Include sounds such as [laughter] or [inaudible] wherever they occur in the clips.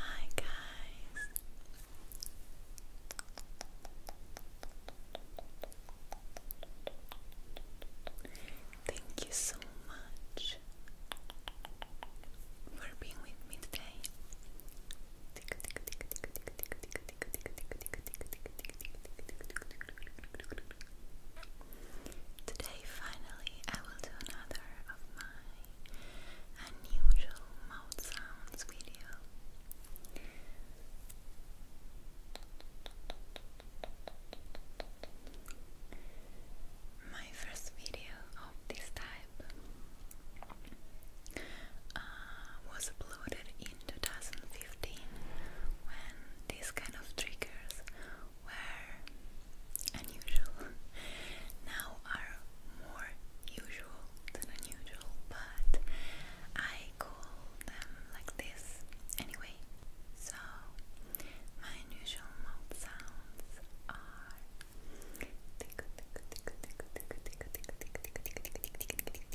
Hi, guys. Thank you so much for being with me today. Today, finally, I will do another of my unusual mouth sounds video. My first video of this type uh, was uploaded in 2015 when these kind of triggers were unusual. now are more usual than unusual, but I call them like this anyway. So my unusual mouth sounds are tick tick tick tick tick tick tick tick tick tick tick tick tick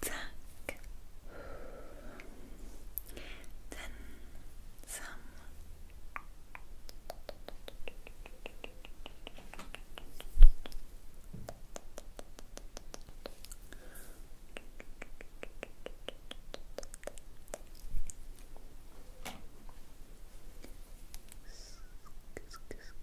Tack. Then some. Scoop, scoop, scoop,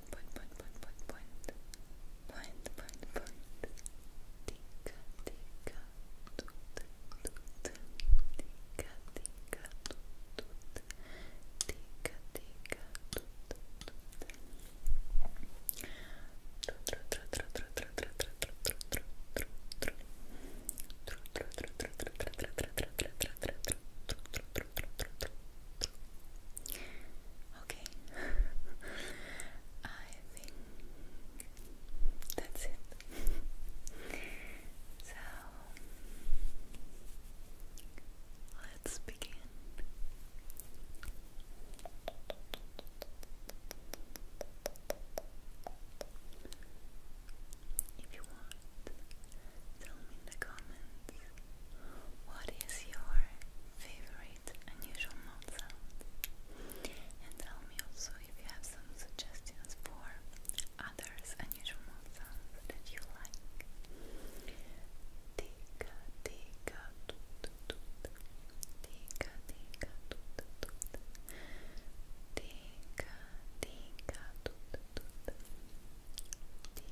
point, point, point, point, point, point, point, point, point. Tica, tica, tut, tut. Tica, tica, tut, tut. Tica, tica, tut, tut. Okay. [laughs] I think that's it. [laughs] so let's begin. If you want, tell me in the comments what is your favorite unusual mouth sound and tell me also if you have some suggestions for others unusual mouth sounds that you like Tika tika toot toot Tika tika toot toot Tika tika toot toot Tika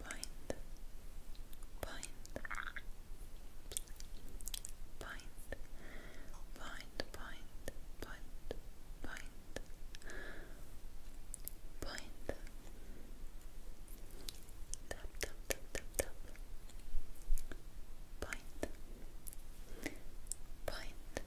point, point, point, point, point, point, point, point, tap, tap, tap, tap, tap, point, point, point.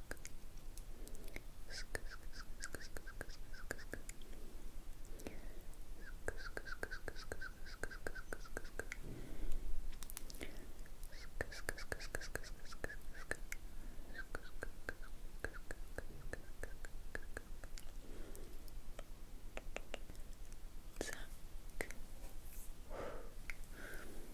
Zack. Zack.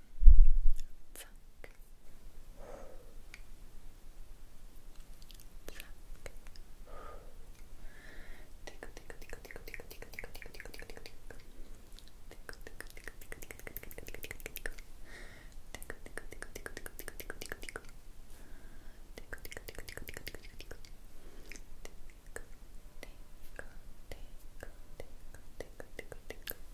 Pluck. Pluck. Tickle, tickle, tickle, tickle, tickle, tickle, tickle, tickle, tickle, tickle, tickle, tickle. Tickle, tickle, tickle, tickle, tickle, tickle, tickle, tickle, tickle. Tickle, tickle, tickle, tickle, tickle, tickle, tickle, tickle, tickle. Tickle, tickle, tickle, tickle, tickle, tickle, tickle. Tickle, tickle, tickle, tickle, tickle, tickle, tickle.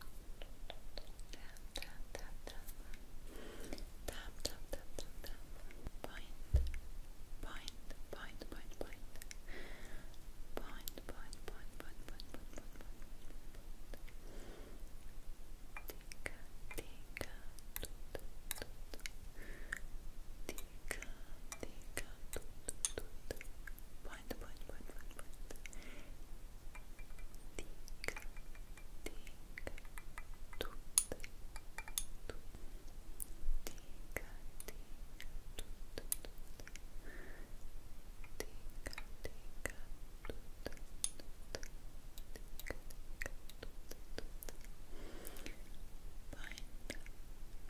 tap, tap, tap, tap, tap, tap, tap, tap, point, point, point, point, point, point, point, point, point, point, point, point, point, tika, tika, tut, tut, tut, tika, tika, tut, tut, tut, point, point, point, point, point. Tik, tik, tut, tut. Tik, tik, tut, tut, tut. Tik, tik, tut, tut, tut. Tik, tik, tut, tut, tut. Point,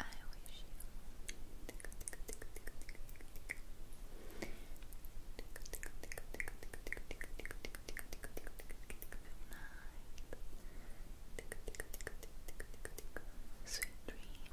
I wish you Sweet dreams.